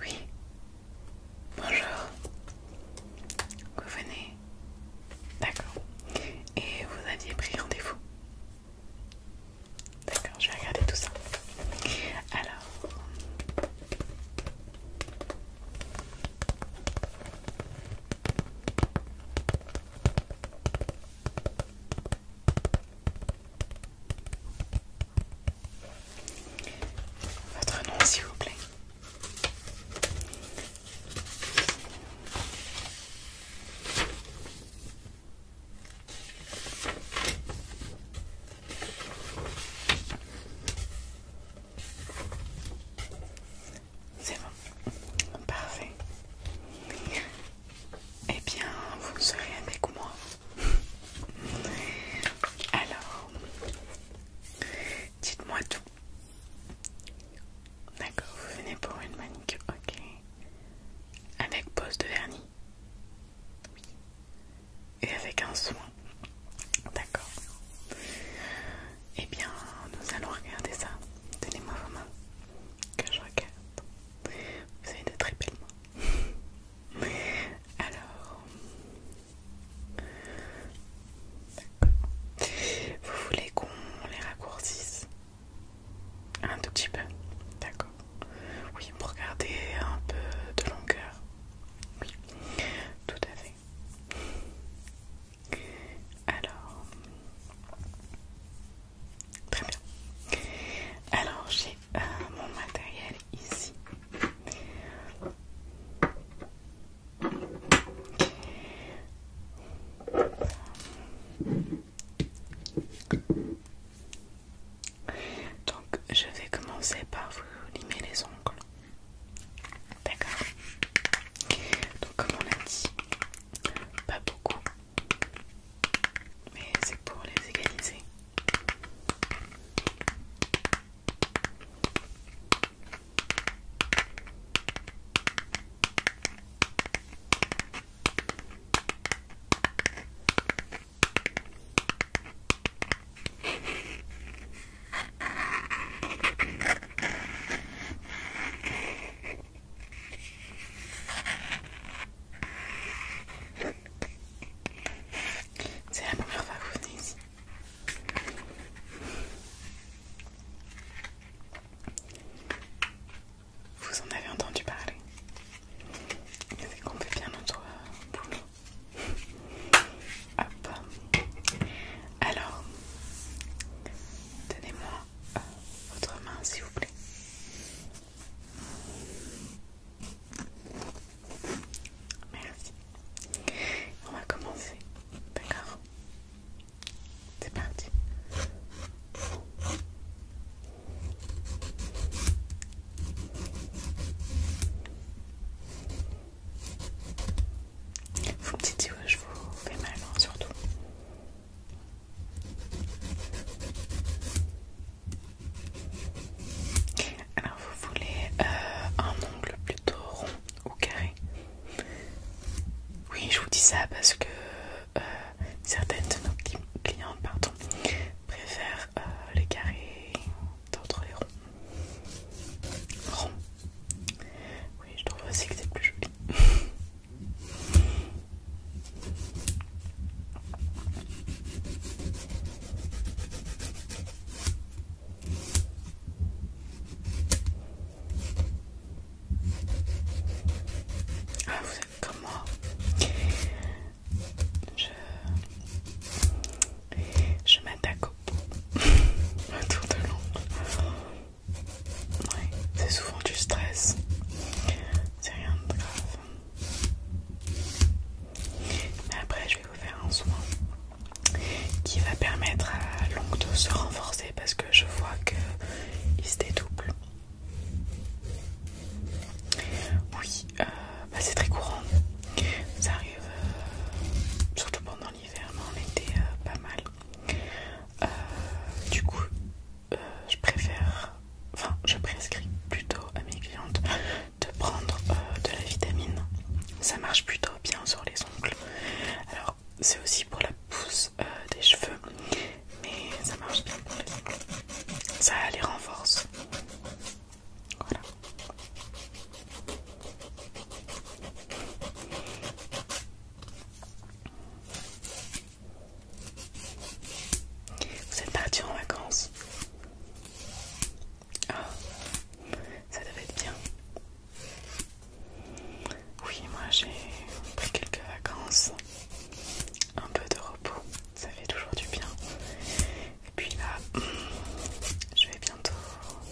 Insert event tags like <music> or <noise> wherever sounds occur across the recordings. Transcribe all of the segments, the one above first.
Oui. Bonjour. Vous venez. D'accord. Et vous aviez pris rendez-vous. D'accord, je vais regarder tout ça. Alors. Votre nom s'il vous plaît. C'est bon, parfait. Eh bien, vous serez avec moi. <laughs> Alors, dites-moi tout. D'accord, vous venez pour une manicure, ok. Avec pose de vernis. Oui. Et avec un soin D'accord. Eh bien, nous allons regarder ça. tenez moi vos mains. Que je regarde. Vous avez de très belles <laughs> Alors... Vous voulez qu'on les raccourcisse un tout petit peu, d'accord. Oui, pour garder un peu de longueur. Oui, tout à fait. Alors, très bien. Alors, j'ai euh, mon matériel ici. Donc, je vais commencer par vous limer les ongles. D'accord. Donc comme on a dit, pas beaucoup. Mais c'est pour les égaliser. C'est la première fois que vous venez ici. Vous en avez entendu parler. C'est qu'on fait bien notre boulot. Alors, donnez-moi euh, votre main, s'il vous plaît. Merci. On va commencer. D'accord C'est parti. Vous me dites où je vous fais mal hein, surtout. Alors vous voulez euh, un ongle plutôt rond ou carré Oui je vous dis ça parce que euh, certaines de nos clientes préfèrent euh, les carrés d'autres les ronds. Oui, je trouve aussi que c'est plus joli. Ah, vous êtes comme moi. Je, je m'attaque au bout, <laughs> de l'ombre c'est souvent du stress. C'est rien de grave. Mais après, je vais vous faire un soin qui va permettre à l'ongle de se renforcer parce que je vois qu'il se dédouble. Oui, euh, bah, c'est très courant. Ça arrive euh, surtout pendant l'hiver, mais en été euh, pas mal. Euh, du coup, euh, je préfère, enfin, je prescris plutôt à mes clientes de prendre euh, de la vitamine. Ça marche plutôt bien sur les ongles. Alors, c'est aussi pour la pousse des cheveux, mais ça marche bien pour les ongles. Ça les renforce. Voilà. Vous êtes parti en vacances ah, ça devait être bien. Oui, moi j'ai pris quelques vacances, un peu de repos, ça fait toujours du bien. Et puis là, je vais bientôt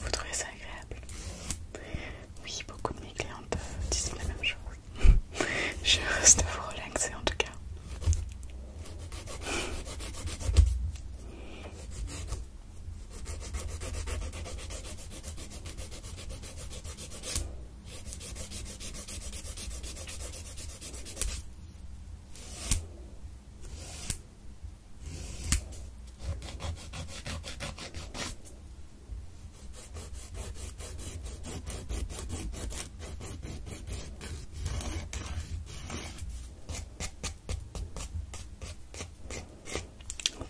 Vous trouvez ça agréable oui, beaucoup de mes clientes euh, disent la même chose. <laughs> Je reste vous relaxer en tout cas.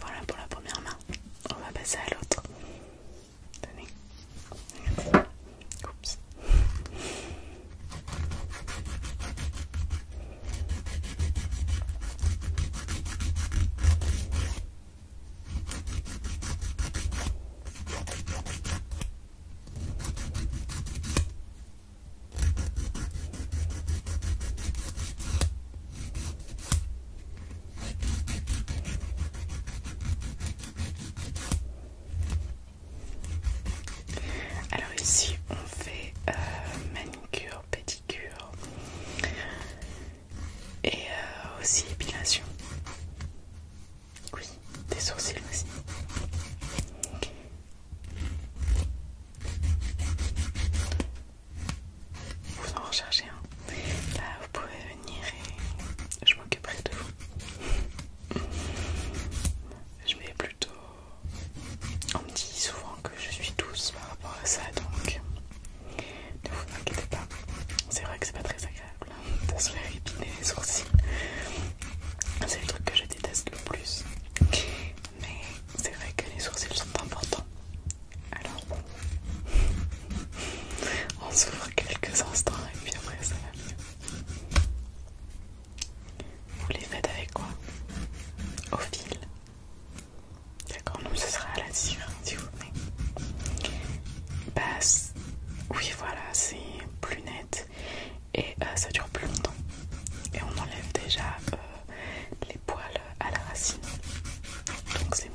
Voilà pour la première main. On va passer à l'autre. Alors ici on fait manucure, euh, manicure, pédicure et euh, aussi épilation. Oui, des sourcils aussi. Vous en recherchez un. Hein. Là, vous pouvez venir et je m'occuperai de vous. Je mets plutôt. On me dit souvent que je suis douce par rapport à ça, donc ne vous inquiétez pas, c'est vrai que c'est pas très agréable de se faire épiner les sourcils. C'est le truc que je déteste le plus. Mais c'est vrai que les sourcils sont importants. Alors <laughs> on s'ouvre quelques instants et puis après ça va mieux. Vous les faites avec quoi Au fil D'accord, non, ce sera à la cire, si vous voulez. Bah, oui, voilà, c'est plus net et euh, ça dure plus longtemps. Et on enlève déjà euh, les poils à la racine, donc c'est mieux.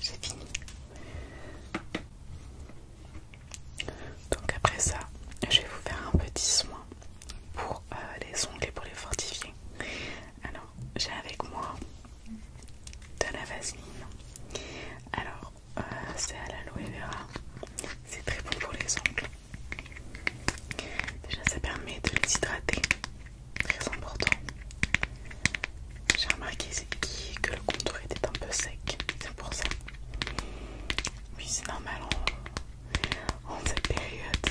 j'ai fini. Donc après ça, je vais vous faire un petit soin pour euh, les ongles et pour les fortifier. Alors, j'ai avec moi de la vaseline. Alors, euh, c'est à l'aloe vera. C'est très bon pour les ongles. Déjà, ça permet de les hydrater très important. J'ai remarqué que le contour était un peu sec, c'est pour ça. Oui, c'est normal en, cette période.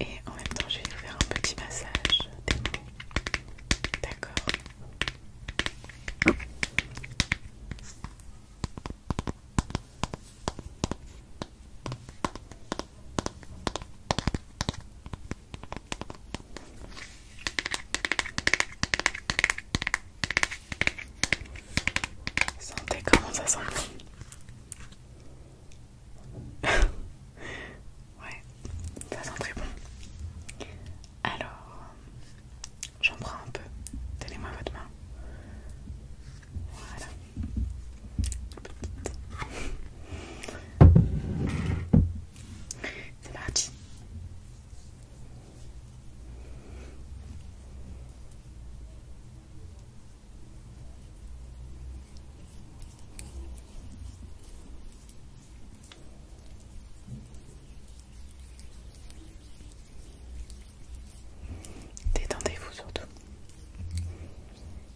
Et en même temps, je vais vous faire un petit massage des D'accord Sentez comment ça sent <laughs> ouais, ça sent très bon. Alors, j'en prends un peu. Donnez-moi votre main. Voilà. C'est Détendez-vous surtout.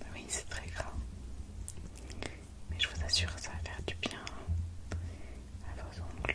Bah oui, c'est très gras. Mais je vous assure, ça va faire du bien à vos ongles.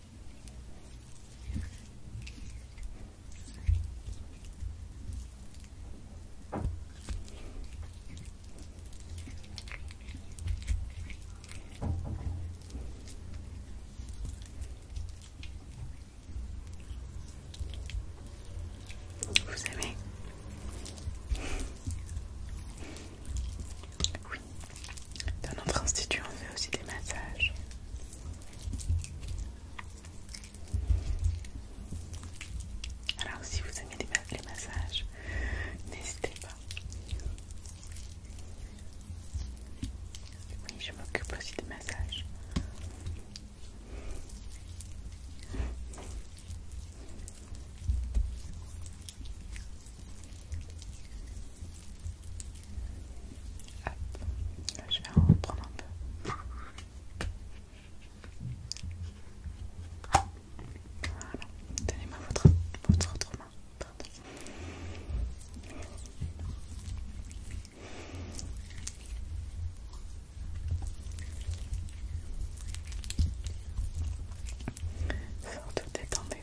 Vous aimez Oui, dans notre institut, on fait aussi des massages. Alors, si vous aimez les massages, n'hésitez pas. Oui, je m'occupe aussi des massages. Hop, je vais en reprendre un peu. Voilà, donnez-moi votre, autre main. Pardon. Surtout détendez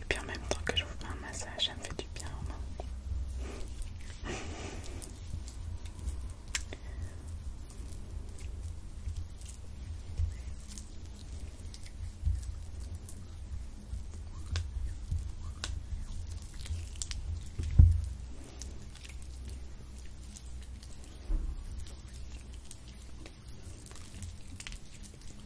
Et puis en même temps que je vous fais un massage, ça me fait du bien même temps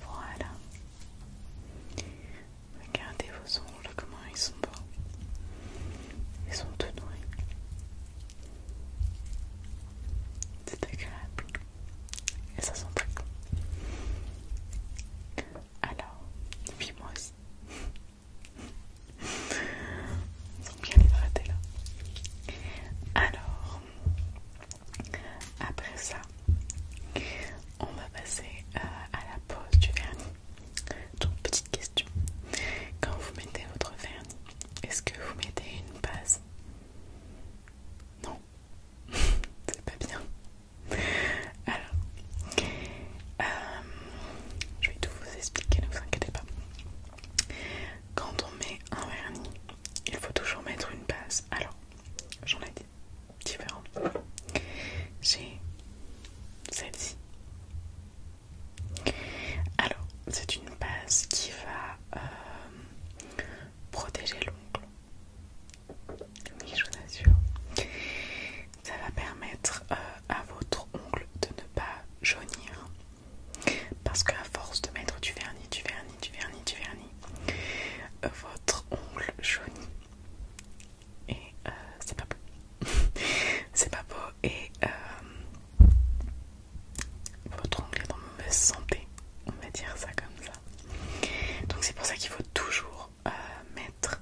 Voilà. Regardez vos ongles, comment ils sont beaux. Ils sont tout doués. C'est agréable. Et ça sent plus. Alors, Puis moi aussi. <laughs> Ils sont bien hydratés là. Alors, après ça, on va passer euh, à la pose du vernis. Donc, petite question quand vous mettez votre vernis, est-ce que vous mettez une base Non, <laughs> C'est pas bien. Alors, euh, je vais tout vous expliquer, ne vous inquiétez pas. Quand on met un vernis, il faut toujours mettre une base. Alors, j'en ai dit Différente. J'ai celle-ci. Alors, c'est une base qui va euh, protéger l'ongle. Oui, je vous assure. Ça va permettre euh, à votre ongle de ne pas jaunir. Parce qu'à force de mettre du vernis, du vernis, du vernis, du vernis, euh, votre ongle jaunit. Et euh, c'est pas beau. <laughs> c'est pas beau. Et votre ongle est en mauvaise santé. On va dire ça comme ça. Donc c'est pour ça qu'il faut toujours euh, mettre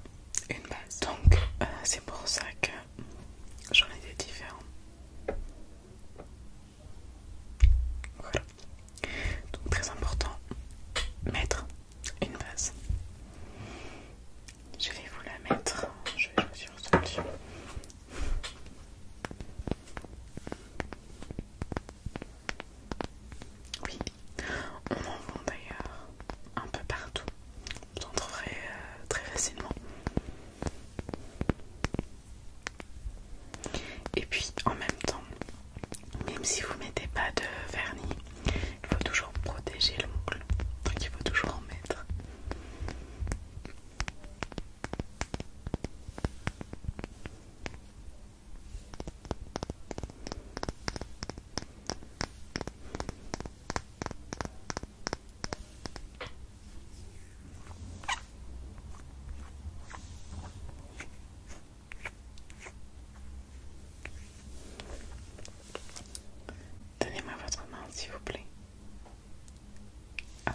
une base. Donc euh, c'est pour ça que j'en ai des différents. Voilà. Donc très important, mettre une base. Je vais vous la mettre. Je vais choisir solution Oui, on en vend d'ailleurs un peu partout, vous en trouverez euh, très facilement. Et puis en même temps, même si vous mettez pas de vernis, il faut toujours protéger l'ongle, donc il faut toujours en mettre. Donnez-moi votre main, s'il vous plaît. Hop.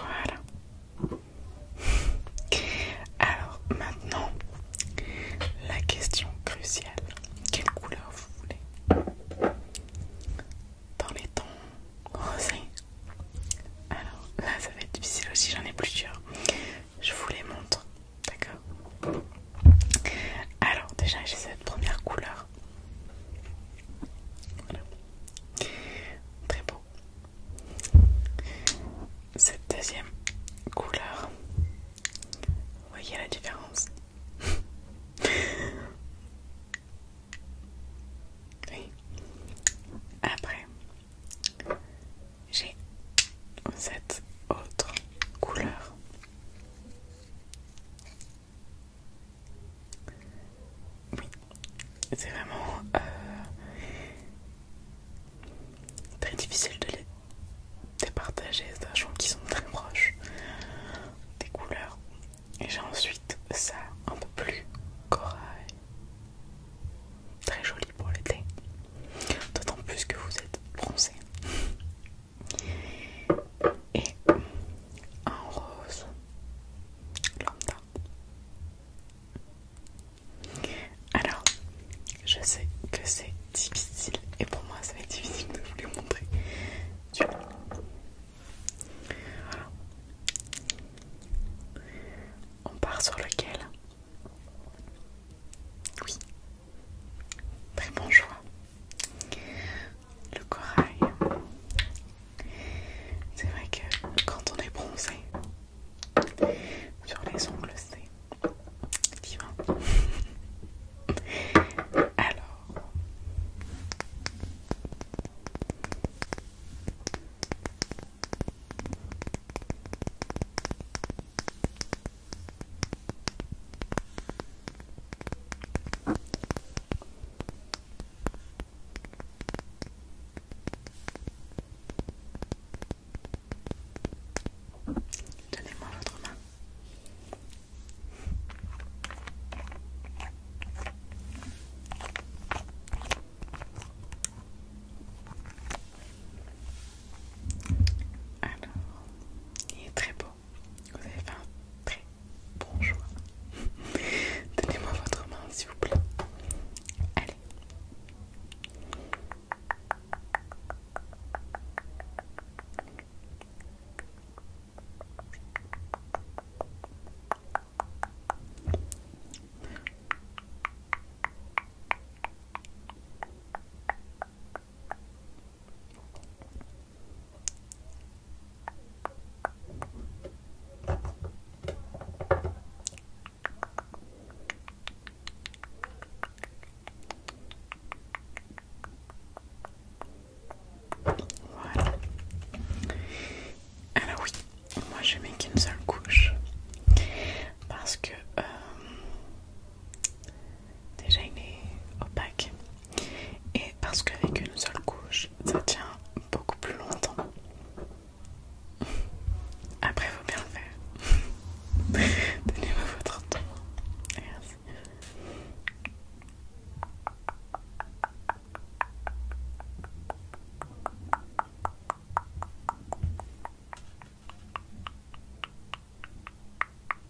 Voilà. Alors maintenant, la question cruciale. Quelle couleur vous voulez Dans les tons rosés. Alors là, ça va être difficile aussi, j'en ai plusieurs. Je vous les montre D'accord Alors, déjà, j'ai cette première couleur. Voilà. Très beau. Cette deuxième couleur. Vous voyez la différence <laughs> Après, j'ai cette autre couleur. Oui, c'est vraiment euh, très difficile de les départager, sachant qui sont très proches des couleurs. Et j'ai ensuite ça un peu plus corail, très joli pour l'été. D'autant plus que vous êtes bronzé. Et un rose lambda. Alors, je sais que c'est difficile et pour moi ça va être difficile de vous les montrer. On part sur lequel oui, très bon choix. Le corail, c'est vrai que quand on est bronzé sur les ongles, c'est divin. <laughs> Alors, Donnez-moi votre main. Alors, il est très beau. Vous avez fait un très bon choix. <laughs> Donnez-moi votre main, s'il vous plaît. Allez. Alors oui, moi j'ai mis qu'une seule couche parce que euh, Déjà il est opaque et parce qu'avec une seule couche ça tient beaucoup plus longtemps. Après faut bien le faire. <laughs> Donnez-moi votre temps. Merci.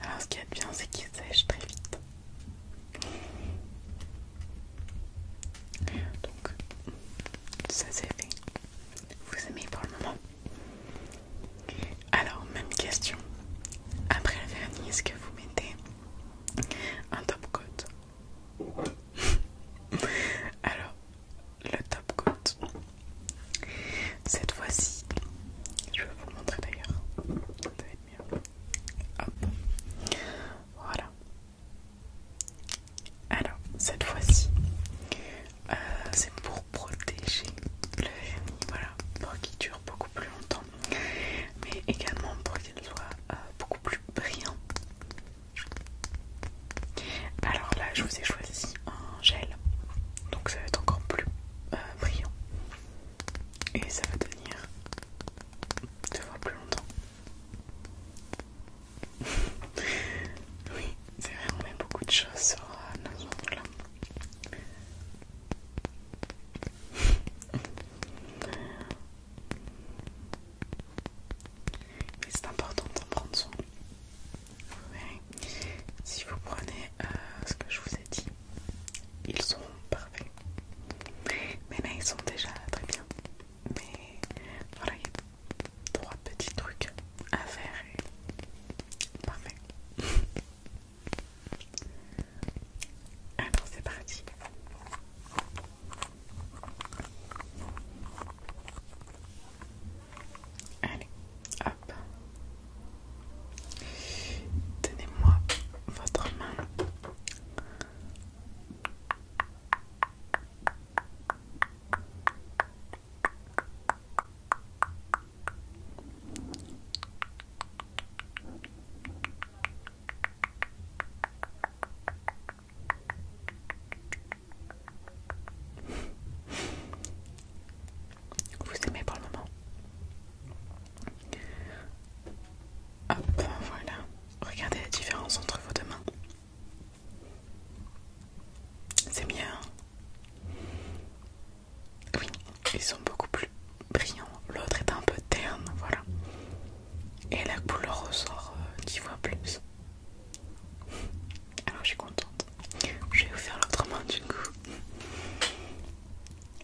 Alors ce qu'il y bien c'est qu'il sèche très vite. Donc ça c'est fait. Vous aimez pour le moment Alors même question. Après le vernis, est-ce que vous mettez un top coat <laughs> Alors le top coat. Cette fois-ci, je vais vous le montrer d'ailleurs. Ça va être mieux. Voilà. Alors, cette fois-ci, euh, c'est pour protéger le voilà, pour qu'il dure beaucoup plus longtemps, mais également pour qu'il soit euh, beaucoup plus brillant. Alors là, je vous ai choisi un gel, donc ça va être encore plus euh, brillant et ça va tenir deux fois plus longtemps. <laughs> oui, c'est vrai, on met beaucoup de choses sur euh, nos ongles. <laughs> Mais c'est important d'en prendre soin. Si vous prenez euh, ce que je vous ai dit, ils sont parfaits. Mais là, ils sont déjà très bien. Mais voilà, il y a trois petits trucs à faire parfait. <laughs> Alors, c'est parti. Allez, hop. Tenez-moi votre main vous aimez pour le moment. Hop, voilà. Regardez la différence entre vos deux mains. C'est bien. oui, ils sont beaucoup plus brillants. L'autre est un peu terne, voilà. Et la couleur ressort euh, dix fois plus. Alors je suis contente. Je vais vous faire l'autre main du coup.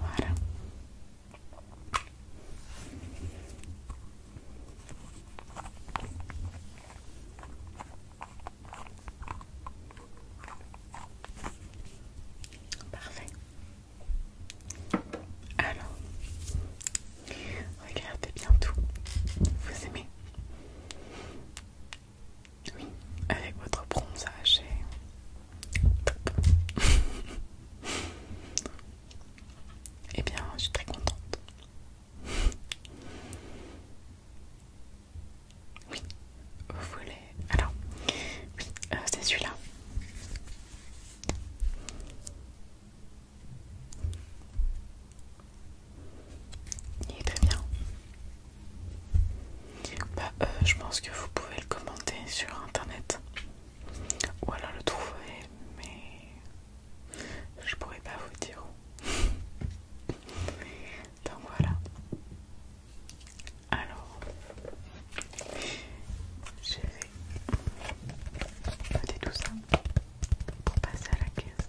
Voilà. Parfait. Alors, regardez bien tout. Vous aimez oui, avec votre bronzage et Eh bien, je suis très contente. Oui, vous voulez... Alors, euh, c'est celui-là. Il est très bien. Bah, euh, je pense que vous pouvez le commenter sur internet ou alors le trouver, mais je pourrais pas vous dire où. <laughs> Donc voilà. Alors, je vais dire tout ça pour passer à la caisse.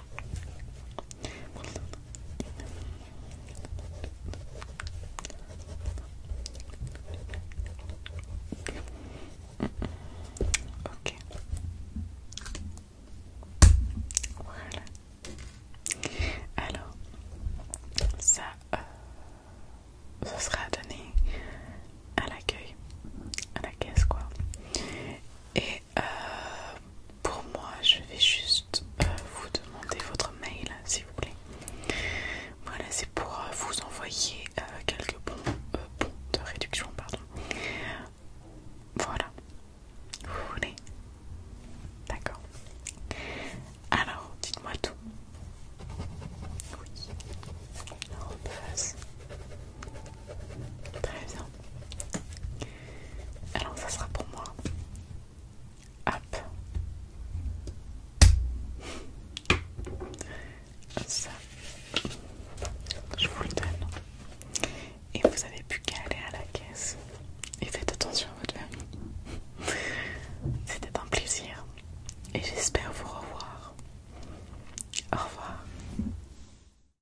Ok. Voilà. Alors, ça, ce euh, sera donné à l'accueil, à la caisse quoi. Et euh, pour moi, je vais juste euh, vous demander votre mail si vous voulez. Voilà, c'est pour euh, vous envoyer euh, quelques bons, de réduction, pardon. Voilà, vous voulez D'accord. Alors, dites-moi tout. Oui. Très bien. Alors ça sera pour moi. Hop. Ça. Je vous le donne. Et vous avez plus qu'à aller à la caisse. Et faites attention à votre famille. C'était un plaisir. Et j'espère vous revoir. Au revoir.